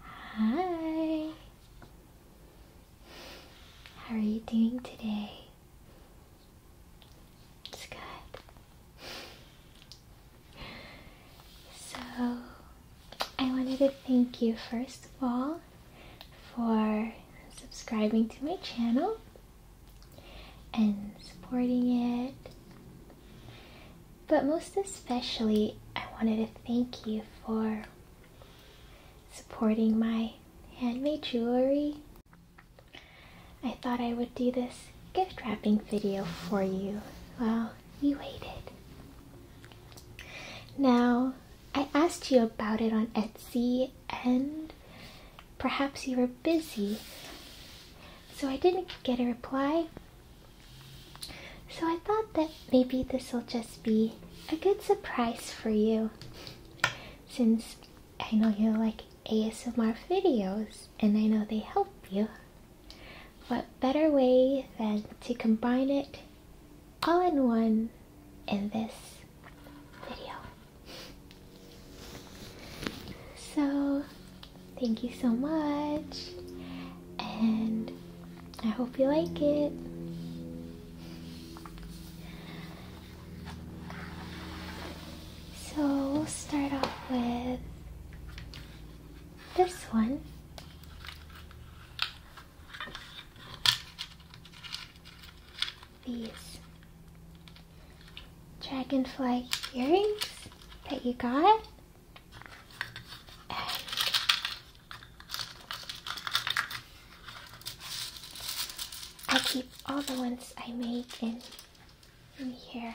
Hi. How are you doing today? It's good. So, I wanted to thank you first of all for subscribing to my channel and supporting it but most especially, I wanted to thank you for supporting my handmade jewelry. I thought I would do this gift wrapping video for you. Well, you waited. Now, I asked you about it on Etsy and perhaps you were busy, so I didn't get a reply, so I thought that maybe this will just be a good surprise for you since I know you like ASMR videos and I know they help you. What better way than to combine it all in one in this video? So Thank you so much. And I hope you like it. So we'll start off with this one. These dragonfly earrings that you got. I keep all the ones I make in, here. here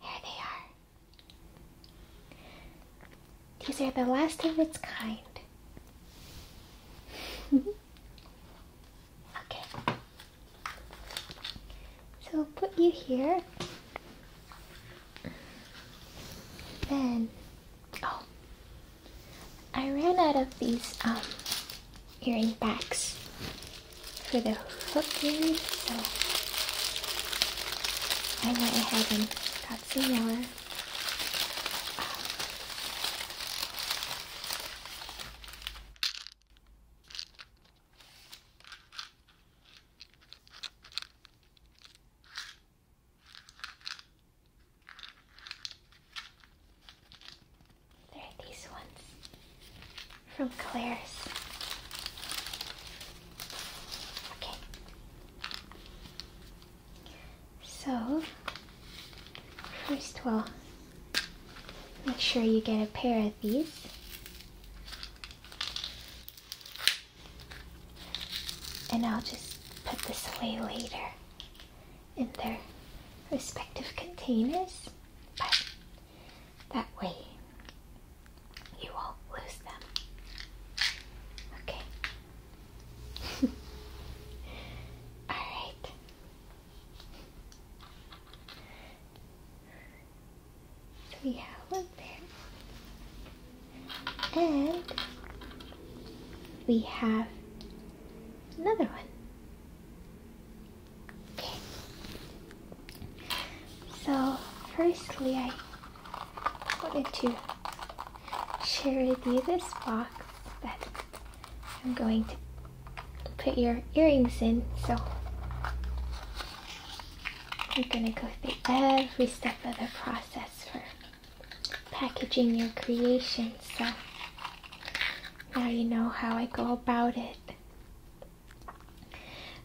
they are. These are the last of its kind. Okay. So we'll put you here. Then, oh, I ran out of these um, earring backs for the hook earrings, so I went ahead and got some more. There are these ones from Claire's. Okay. So, first we'll make sure you get a pair of these. And I'll just put this away later in their respective containers, but that way you won't lose them. Okay, all right. So we have one pair, And we have another one. Okay. So firstly I put wanted to share with you this box that I'm going to put your earrings in. So we're going to go through every step of the process for packaging your creation. So now you know how I go about it.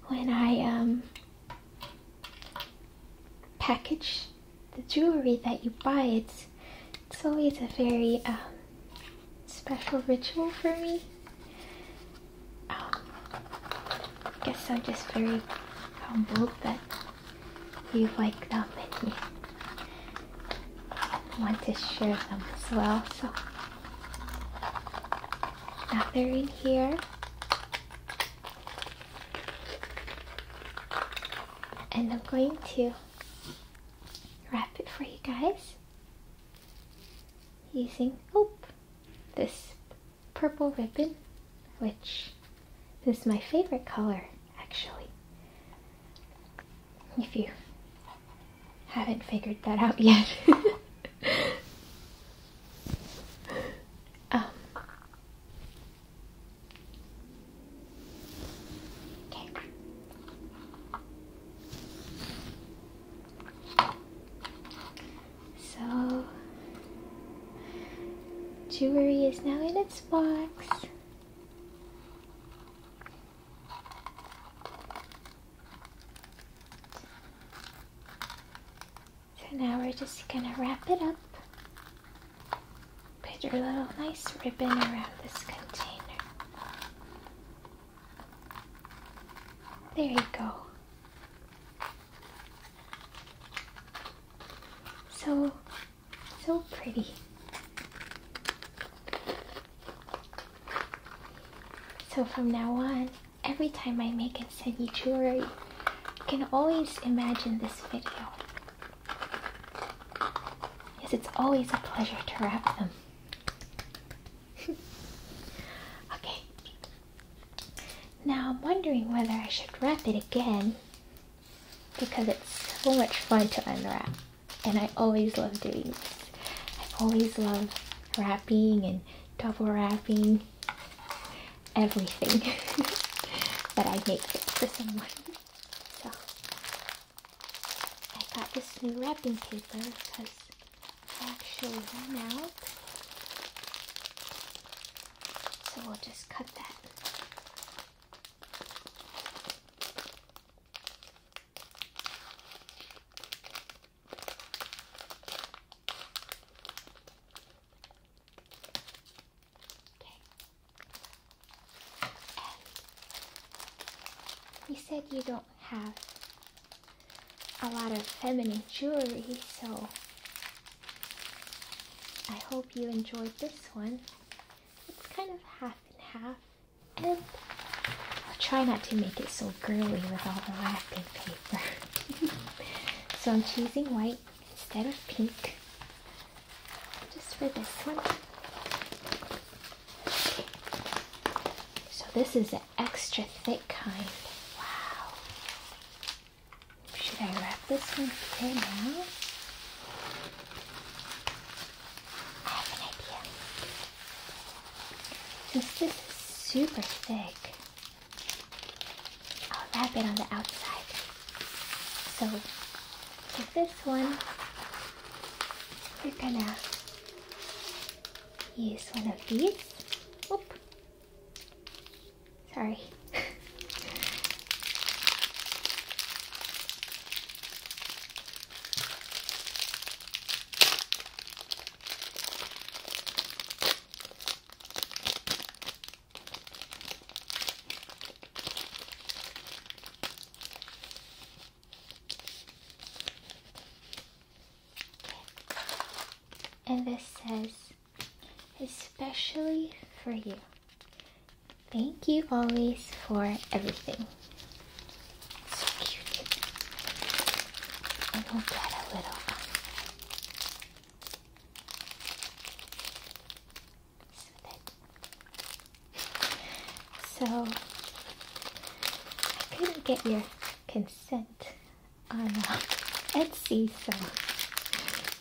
When I um, package the jewelry that you buy, it's, it's always a very um, special ritual for me. Um, I guess I'm just very humble that you've like that many. you want to share them as well. So now they're in here. And I'm going to wrap it for you guys using oh, this purple ribbon, which is my favorite color actually. If you haven't figured that out yet. Um, Okay. So, jewelry is now in its box. So now we're just gonna wrap it up. Put your little nice ribbon around this container. There you go. So, so pretty. So from now on, every time I make a send you jewelry, you can always imagine this video Yes, it's always a pleasure to wrap them. okay. Now I'm wondering whether I should wrap it again because it's so much fun to unwrap. And I always love doing this. I always love wrapping and double wrapping everything that I make for someone. I got this new wrapping paper because I actually ran out. So we'll just cut that. Okay. And you said you don't have a lot of feminine jewelry, so I hope you enjoyed this one. It's kind of half and half, and I'll try not to make it so girly with all the wrapping paper. so I'm choosing white instead of pink just for this one. So this is an extra thick kind. Wow. Should I wrap this one here now? I have an idea. Since this is super thick, I'll wrap it on the outside. So with this one, we're gonna use one of these. Oop. Sorry. And this says, especially for you. Thank you always for everything. So cute. And we'll get a little. Um, so I couldn't get your consent on uh, Etsy, so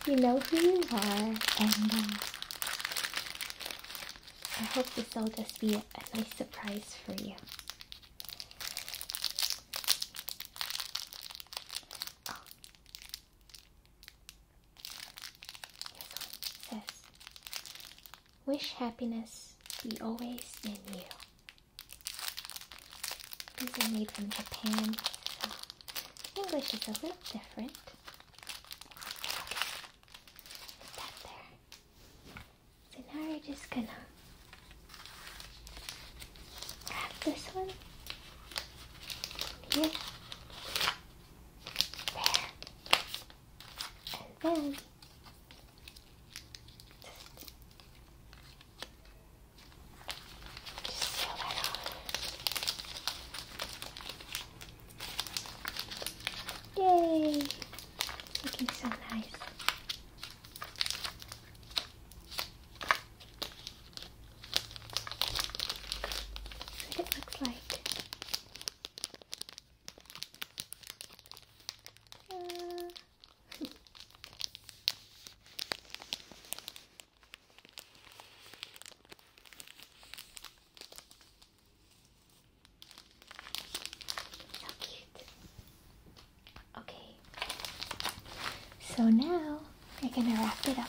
you know who you are, and um, I hope this will just be a, nice surprise for you. This one says, Wish happiness be always in you. These are made from Japan, so English is a little different. So now we're just gonna wrap this one here there, and then just, seal that off. Yay! Looking so nice. That's what it looks like so Okay. So now we're gonna wrap it up.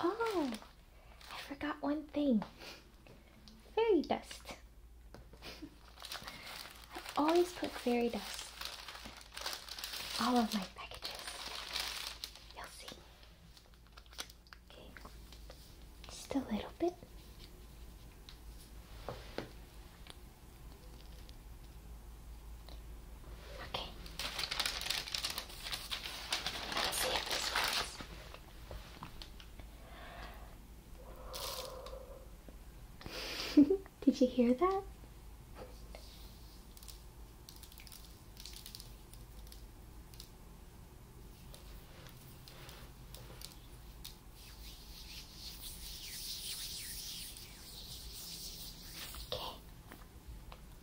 oh, I forgot one thing. Fairy dust. I always put fairy dust all of my packages. You'll see. Okay, just a little bit. Okay. Let's see if this works. Did you hear that?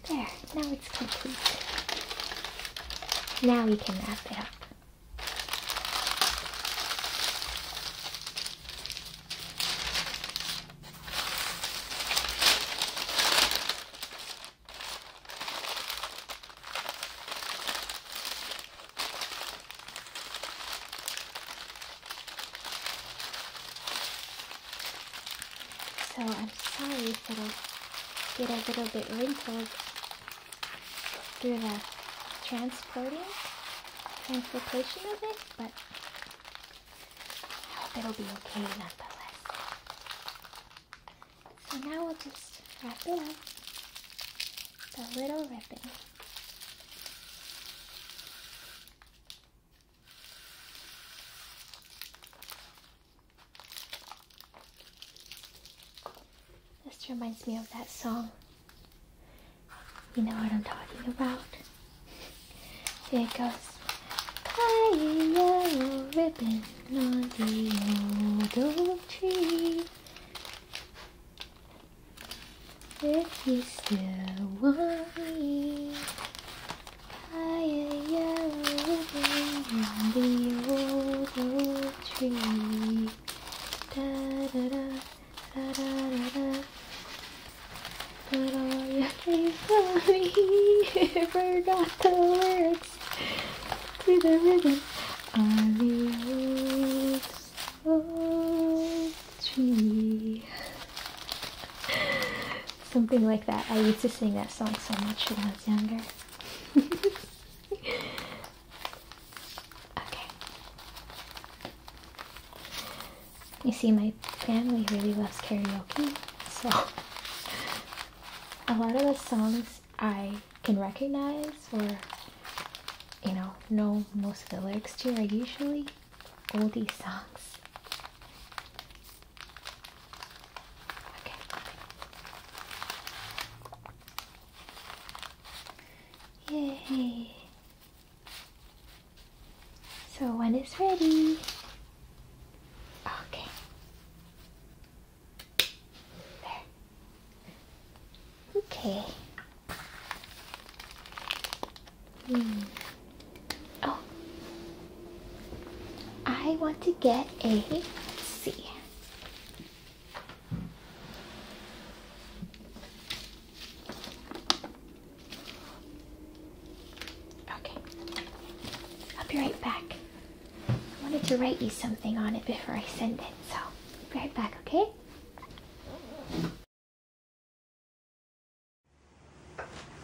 Okay. There, now it's complete. Now we can wrap it up. So I'm sorry if it'll get a little bit wrinkled through the transporting, transportation of it, but I hope it'll be okay nonetheless. So now we'll just wrap it up. The little ribbon. This reminds me of that song. You know what I'm talking about. Here goes. Tying a ribbon on the old oak tree. If you still want me, tie a yellow ribbon on the old oak tree. da da da da da da. Put all your things on me. Forgot the words to the rhythm. On the old tree. Something like that. I used to sing that song so much when I was younger. okay. You see, my family really loves karaoke, so a lot of the songs I can recognize or you know know most of the lyrics to are usually oldie songs. Yay! So when it's ready, okay. There. Okay. Hmm. Oh, I want to get a. Let's see. Okay. I'll be right back. I wanted to write you something on it before I send it, so be right back, okay?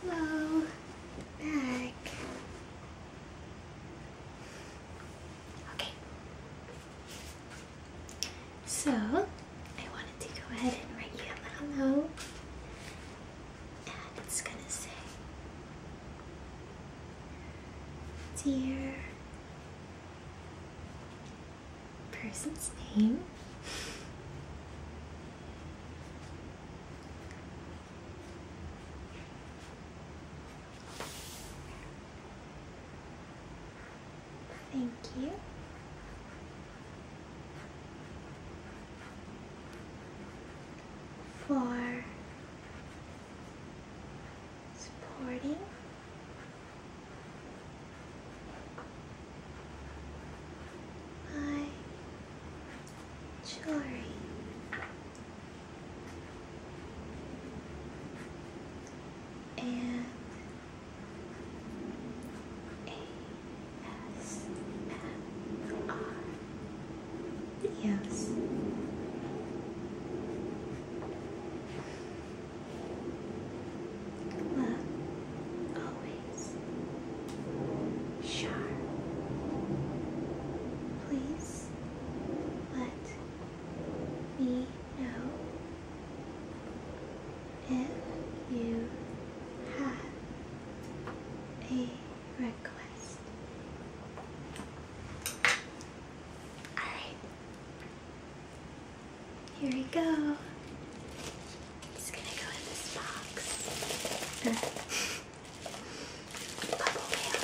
Hello. Back. Okay. So I wanted to go ahead and write you a little note and it's gonna say, Dear person's name. Thank you for supporting my jewelry. And a S R. Yes. Love always. Sharp. Please let me know if you have a request. Alright. Here we go. i gonna go in this box. bubble wrap.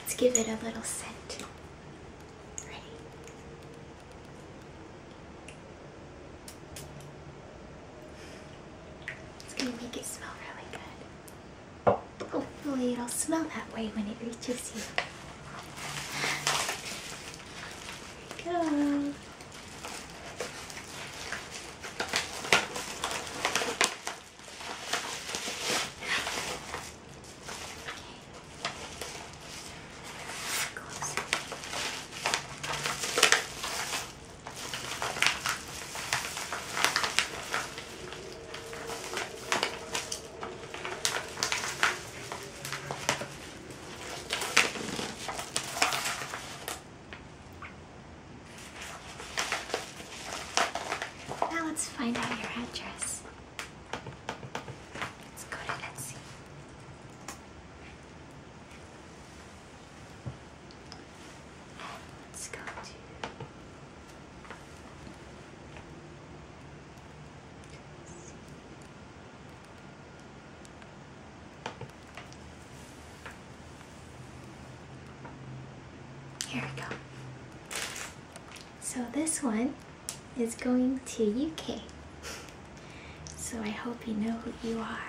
Let's give it a little scent. Ready? It's going to make it smell really good. Hopefully it'll smell that way when it reaches you. Here we go. Okay. Now let's find out your address. Let's go to Etsy. Let's go to here we go. So this one is going to UK. So I hope you know who you are.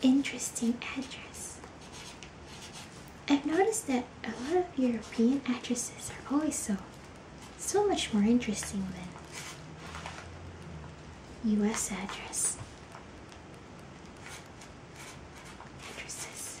Interesting address. I've noticed that a lot of European addresses are always so, so much more interesting than US address. Addresses.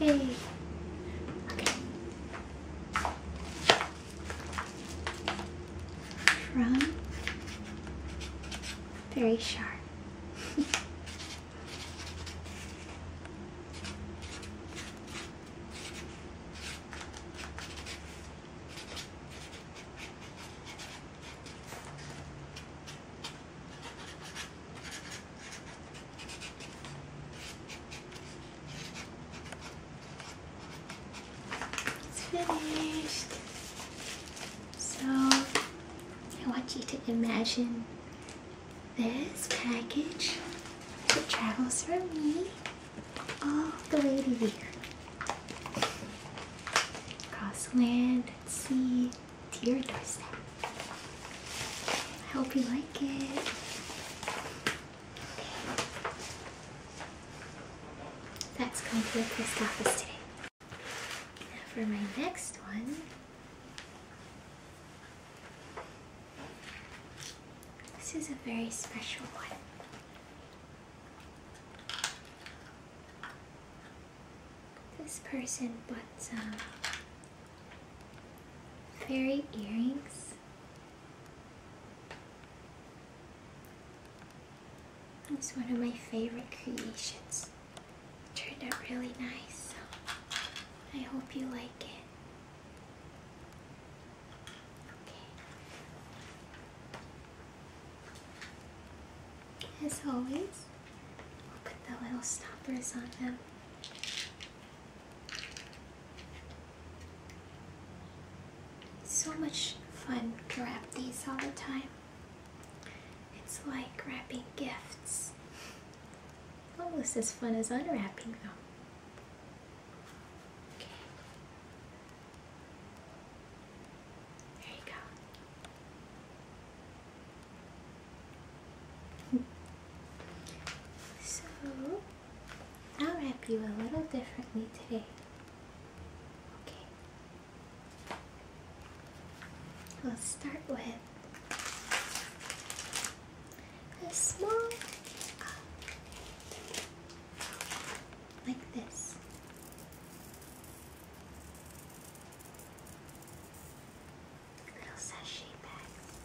Yay. Okay. From very sharp. It's finished. So I want you to imagine this package that travels from me all the way to here. Across land, sea, to your doorstep. I hope you like it. That's going to the post office today. Now for my next one. This is a very special one. This person bought uh, some Fairy earrings. It's one of my favorite creations. It turned out really nice, so I hope you like it. Okay. As always, I'll put the little stoppers on them. so much fun to wrap these all the time. It's like wrapping gifts. Almost as fun as unwrapping though. There you go so I'll wrap you a little differently today. Okay. Let's start with a small like this little sachet bags.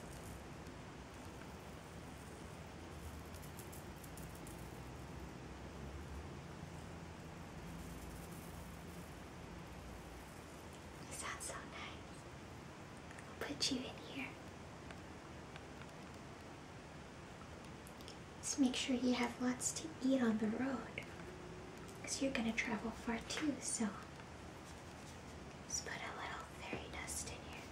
You sound so nice. I'll put you in here. Just make sure you have lots to eat on the road. Because you're going to travel far too, so just put a little fairy dust in here.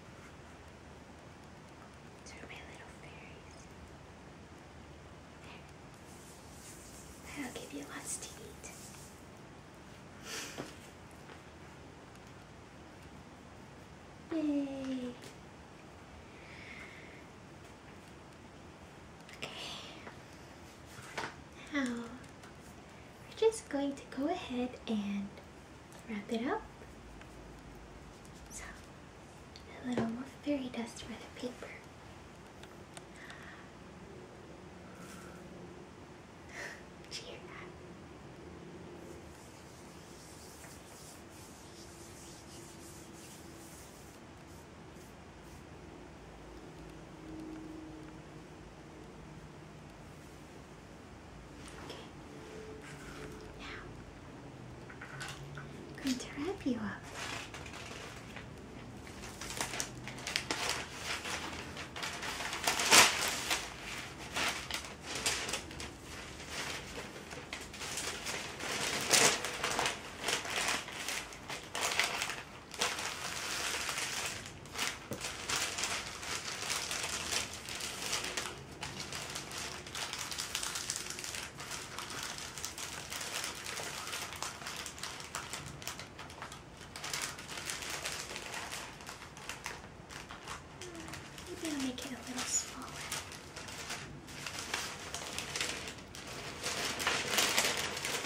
These are my little fairies. There. That'll give you lots to eat. Yay! Okay. Now we're just going to go ahead and wrap it up. So, a little more fairy dust for the paper. Cheer Okay. Now, I'm going to wrap you up. I'm gonna make it a little smaller.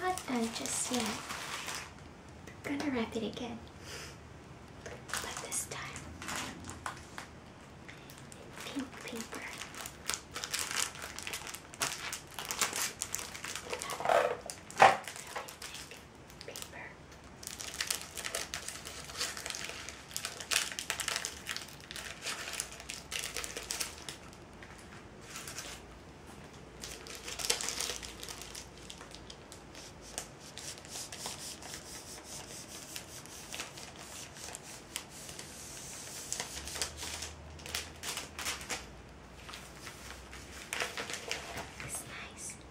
not mm-hmm. done just yet. I'm gonna wrap it again. But this time in pink paper. Really paper. It's nice.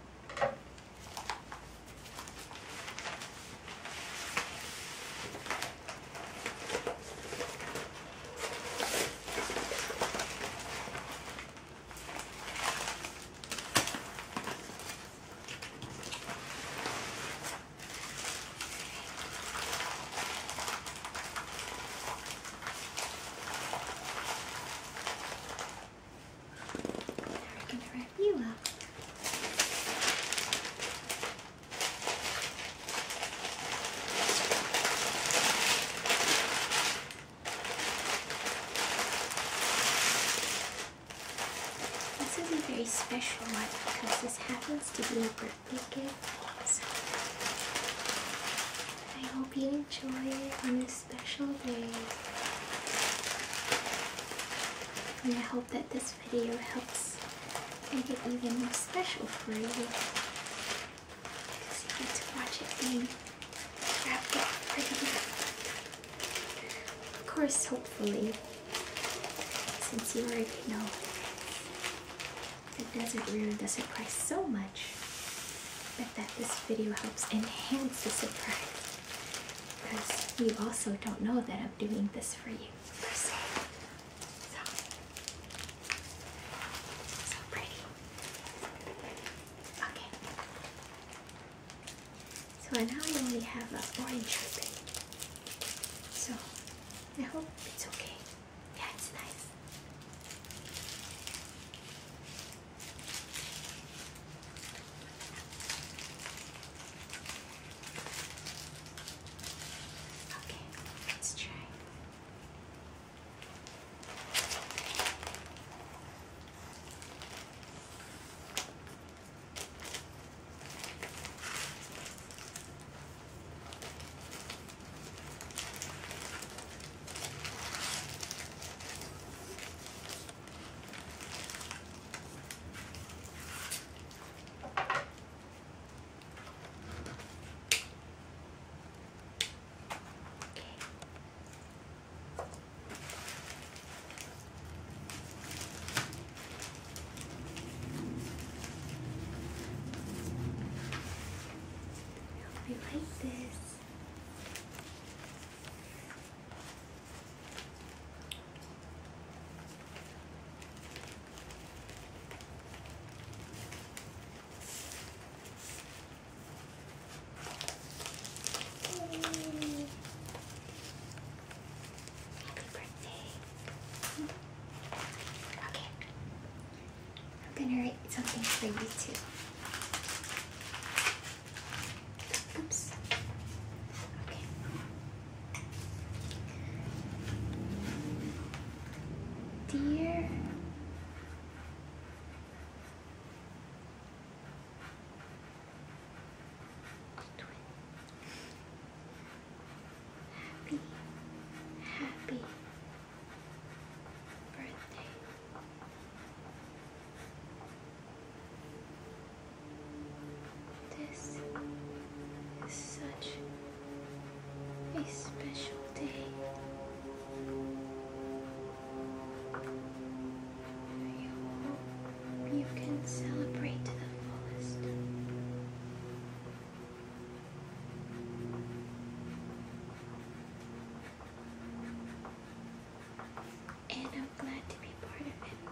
There we can do it you up. This is a very special one because this happens to be a birthday gift. I hope you enjoy on this special day. And I hope that this video helps make it even more special for you to watch it being wrapped up pretty. Of course, hopefully, since you already know the Desert doesn't surprise so much, but that this video helps enhance the surprise because you also don't know that doing this for you So, so pretty. Okay. So now I only have an orange ribbon. So I hope it's okay. Yeah, it's nice. Okay, let's try. I hope you like this. Happy birthday. Okay. I'm gonna write something for you too. Oops. Okay. Dear Happy, happy birthday. This is such a special day. I you can celebrate to the fullest. And I'm glad to be part of it.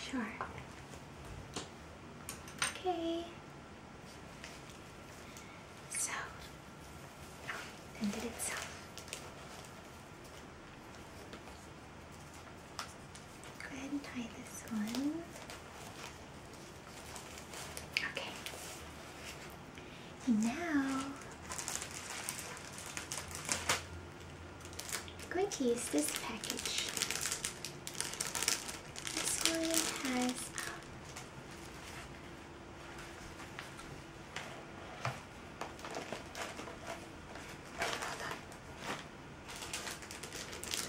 Sure. Okay. So, ended itself. Go ahead and tie this one. Okay. Now, I'm going to use this package. This one has um,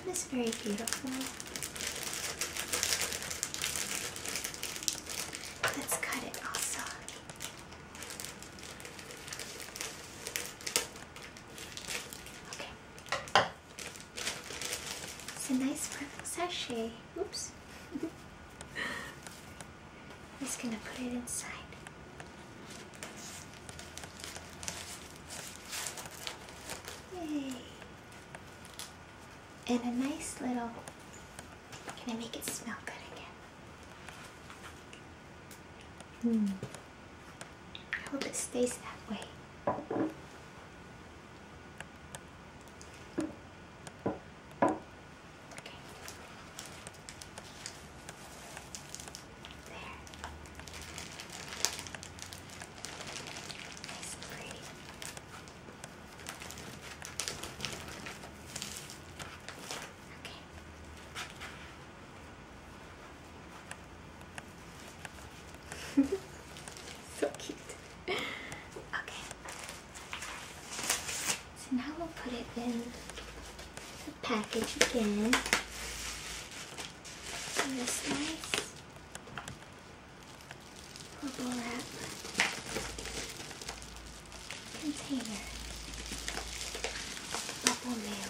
It's very beautiful. Let's cut it also. Okay. It's a nice perfect sachet. Oops. I'm just gonna put it inside. Yay. And a nice little, gonna make it smell good again. Hmm. I hope it stays that way. Okay. There. Nice and pretty. Okay. so cute. Okay. So now we'll put it in the package again. this nice purple wrap container. Bubble mail.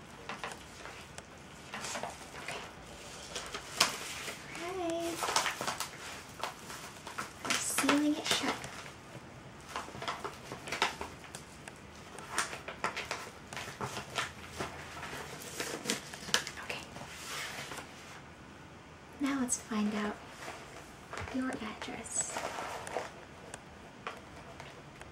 Okay. I'm sealing it shut. Okay. Now let's find out your address.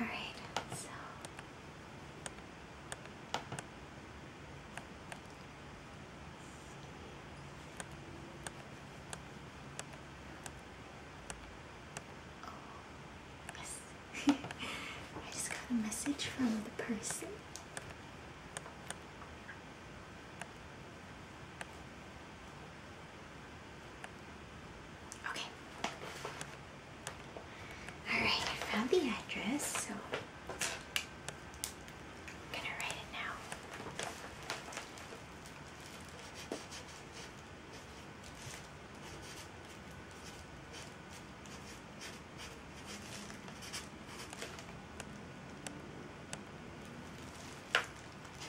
Alright, so oh, yes. I just got a message from the person. Okay. Alright, I found the address, so I'm gonna write it now.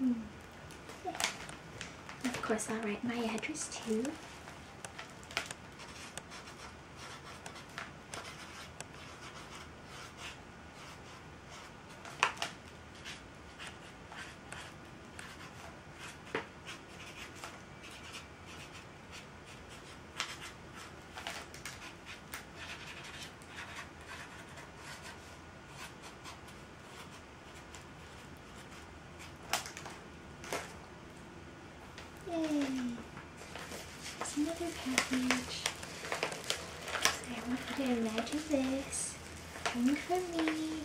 Hmm. Of course, I'll write my address too. Yay! It's another package. So I want to imagine this coming from me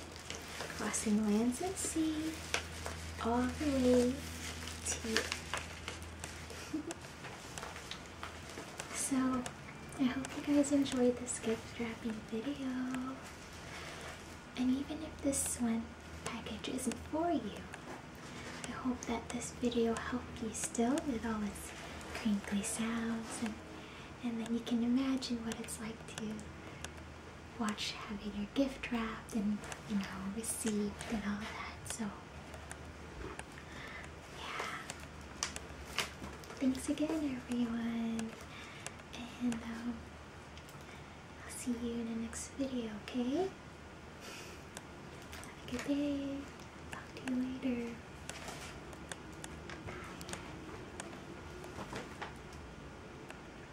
crossing lands and sea, all the way to you. so, I hope you guys enjoyed this gift wrapping video. And even if this one package isn't for you, I hope that this video helped you still with all its crinkly sounds and, and then you can imagine what it's like to watch having your gift wrapped and you know received and all that so yeah thanks again everyone and um, I'll see you in the next video okay have a good day talk to you later Bye.